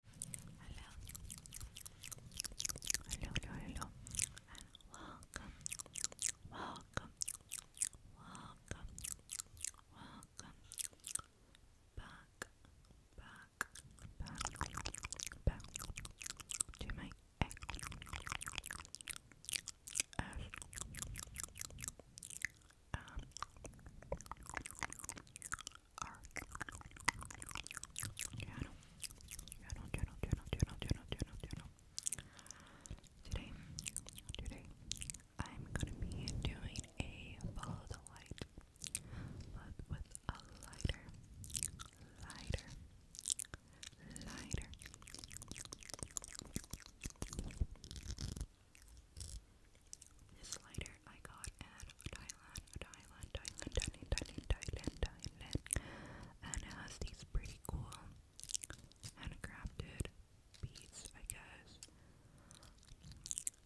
Hello. Hello, hello, welcome, welcome, welcome, welcome back, back, back, back to my egg. Today, today, I'm gonna be doing a follow the light, but with a lighter, lighter, lighter. This lighter I got at Thailand, Thailand, Thailand, Thailand, Thailand, Thailand, Thailand, and it has these pretty cool handcrafted beads, I guess.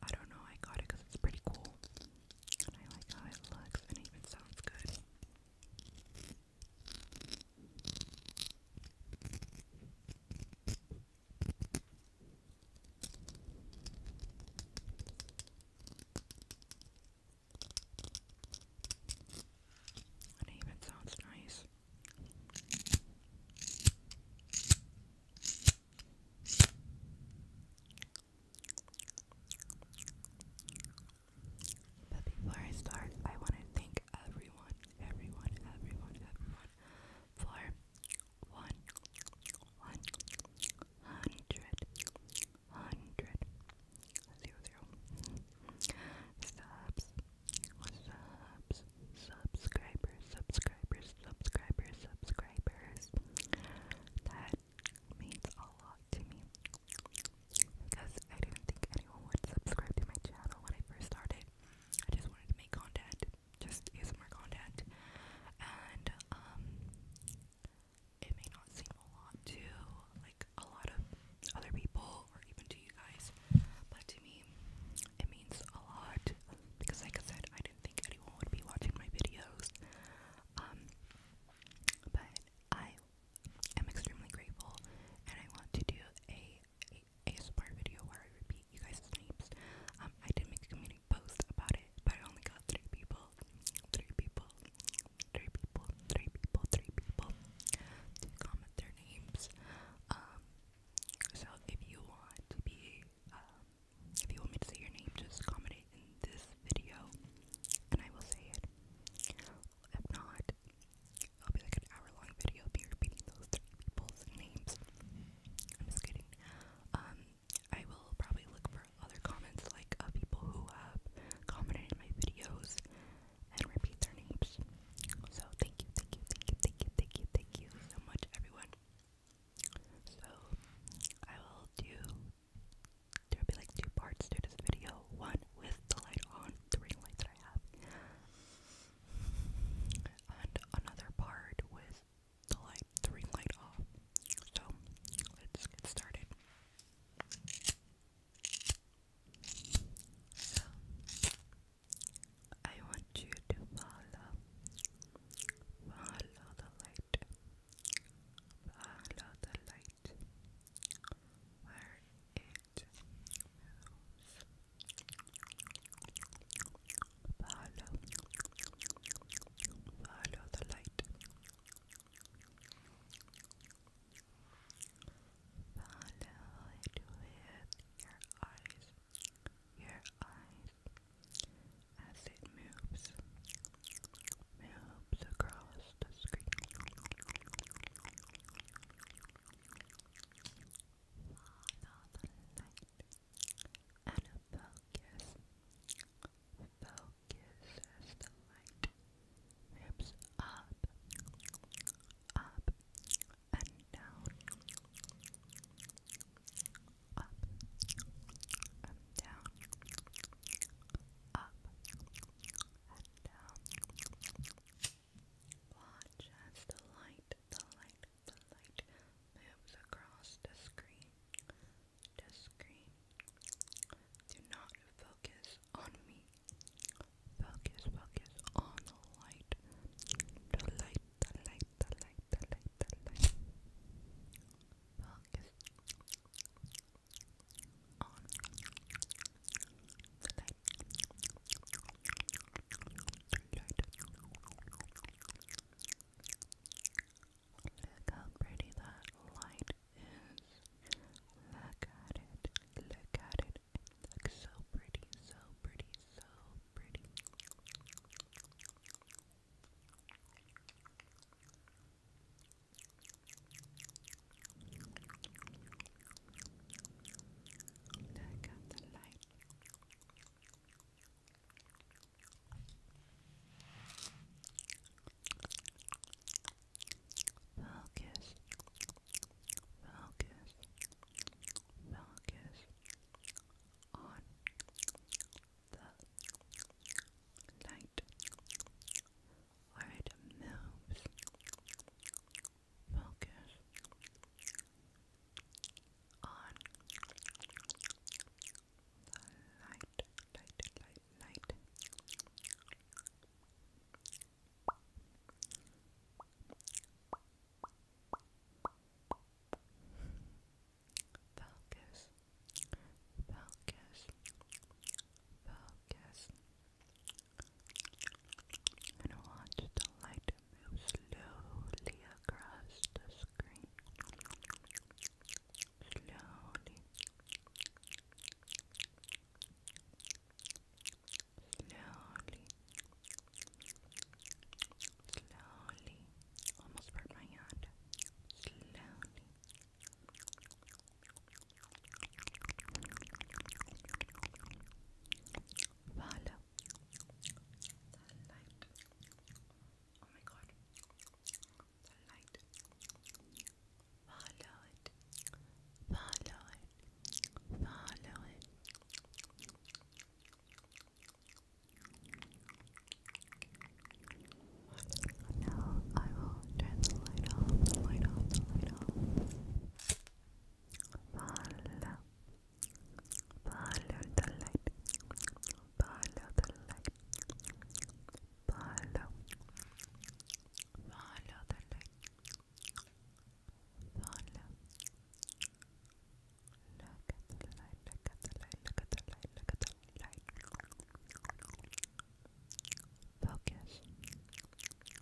I don't know, I got it it's pretty cool, I like how it looks, and even sounds good. It even sounds nice. But before I start, I want to thank everyone, everyone, everyone, everyone for one, hundred, hundred, zero, zero, subs, subs, subscribers, subscribers, subscribers. That means a lot to me because I didn't think anyone would subscribe to my channel when I first started. I just wanted to make content just ASMR content, and um, it may not seem a lot to like a lot of other people or even to you guys, but to me, it means a lot because, like I said, I didn't think anyone would be watching my videos. Um, but I am extremely grateful, and I want to do a, a ASMR video where I repeat you guys' names. Um, I did make a community many about it, but I only got three people. Three people. Three people. Three people. Three people to comment their names. Um, so if you want to be, um, if you want me to say your name, just comment it in this video, and I will say it. If not, it'll be like an hour-long video. be repeating those three people's names. I'm just kidding. Um, I will probably look for other comments like people who have commented my videos and repeat their names. So thank you, thank you, thank you, thank you, thank you, thank you so much, everyone. So I will do. there be like two parts to this video. One with the light on, the ring light that I have, and another part with the light, the ring light off. So let's get started. So, I want you to follow, follow the light, follow the light where it moves. Follow, follow the light. Follow it with your eyes, your eyes, as it moves, moves across the screen. Follow the light and focus, focus as the light rips up, up and down, up and down, up and down. Watch as the light, the light, the light moves across the screen. The screen. Do not focus on me. Focus, focus on the light. The light, the light, the light, the light, the light. Focus on the light. The light. Look how pretty that light is. Look at it. Look at it. It so pretty, so pretty, so pretty. Look at the light. Focus, focus, focus on the light where it moves. Focus, on the light, light, Focus, focus, focus. And watch the light slowly across the screen. Slowly. Slowly. Slowly. Almost burnt my hand. Slowly. Follow the light. Oh my god. The light. Follow it. Follow it. Follow it. Now I will turn the light off, the light off, the light off. Follow, Follow the light. Follow the light. Follow. Follow the light. Follow. Look at the light. Look at the light. Look at the light. Look at the light. Focus.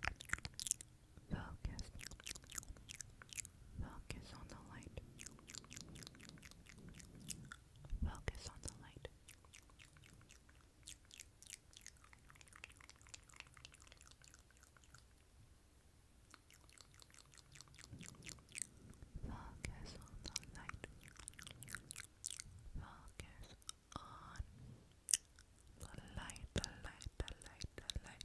Focus. Focus. Focus on the light. Focus on the light. Focus on the light. Focus on the light, the light, the light, the light, the light,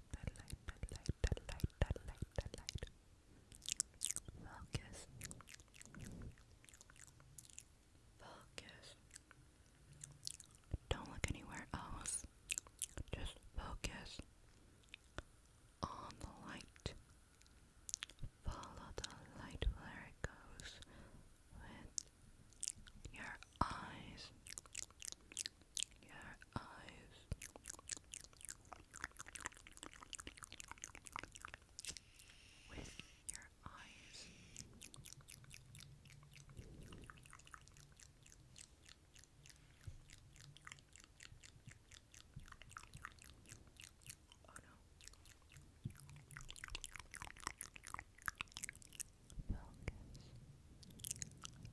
the light, that light, that light, that light. Focus. Focus. Don't look anywhere else. Oh, Just focus on the light. Follow the light where it goes with your eyes your eyes. With your eyes. Oh no. Focus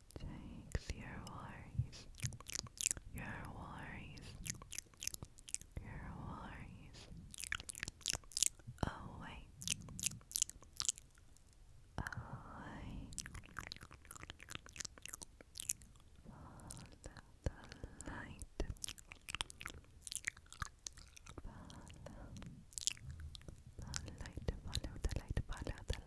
Takes your worries, your worries, your worries away, away. Follow the light. Follow the light, follow the light, follow the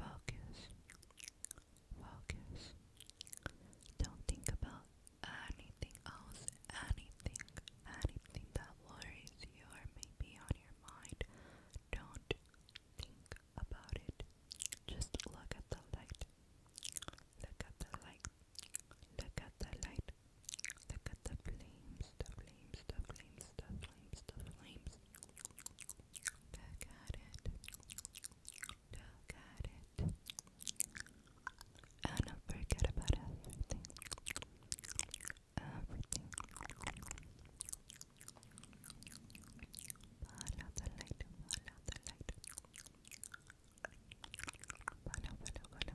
Focus. Focus. Don't think about anything else, anything, anything that worries you or may on your mind. Don't think about it. Just look at the light. Look at the light. Look at the light. Look at the flames, the flames, the flames, the flames, the flames. Look at it. Look at it. And don't forget about everything. Everything. Follow the light. Follow the light. Follow, follow, follow.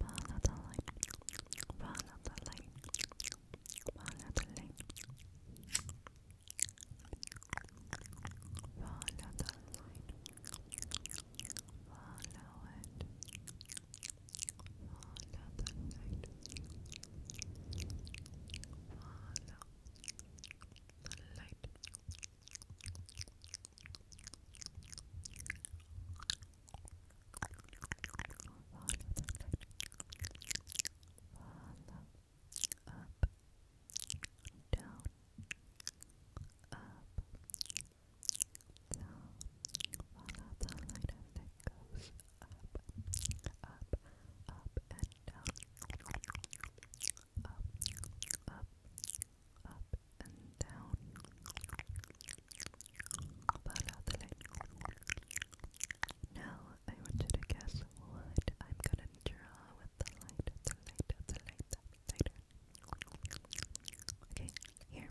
Follow the light. Follow the light. Follow the light. Follow the light. Follow it. Follow the light. Follow the light up, down, up, down, follow the light as it goes up, up, up and down, up, up, up and down. Follow the light. Now I want you to guess what I'm gonna draw with the light, the light, the light, the lighter. Okay, here.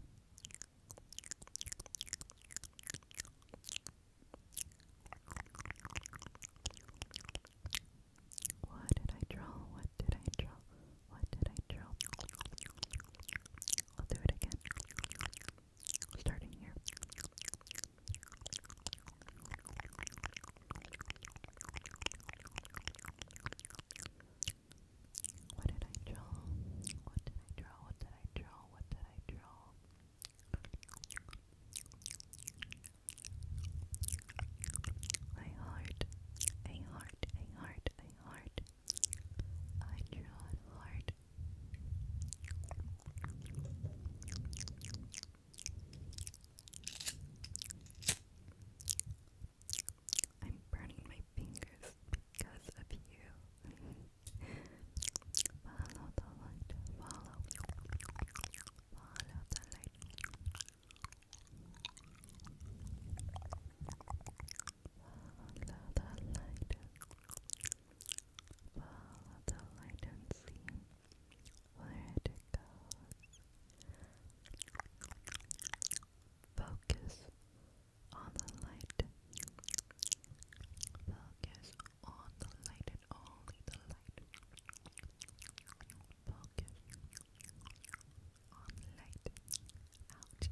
What did I draw? What did I draw? What did I draw? I'll do it again. Starting here. What did I draw? What did I draw? What did I draw? What did I draw? I heart, I heart, I heart, I heart. I draw heart. I'm burning my fingers because of you. follow the light, follow, follow the light. Follow the light. Follow the light and see where it goes. Focus on the light. Focus on the light and only the light. Focus on the light out. Focus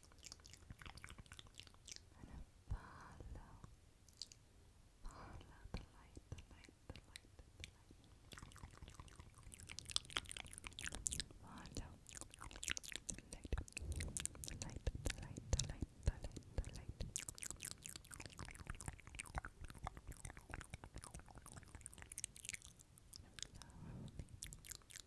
And follow, follow the light, the light, the light, the light. Follow the light, the light, the light, the light, the light,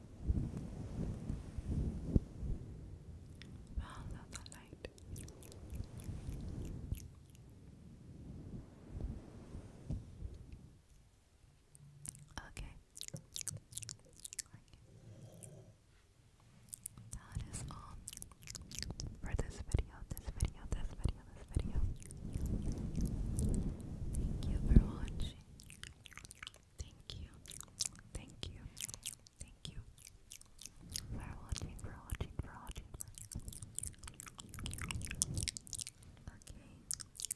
Follow the light. okay. That is all for this video, this video, this video, this video. Thank you for watching. Thank you. Thank you. Thank you for watching, for watching, for watching. Okay, okay, okay. I burnt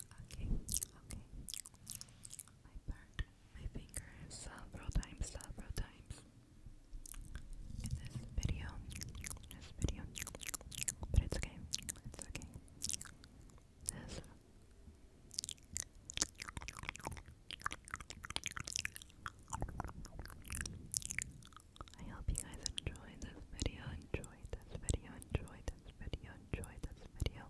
my finger several times, several times in this video. This video. But it's okay. It's okay. This. I hope you guys enjoyed this video, enjoyed this video, enjoyed this video, enjoyed this video.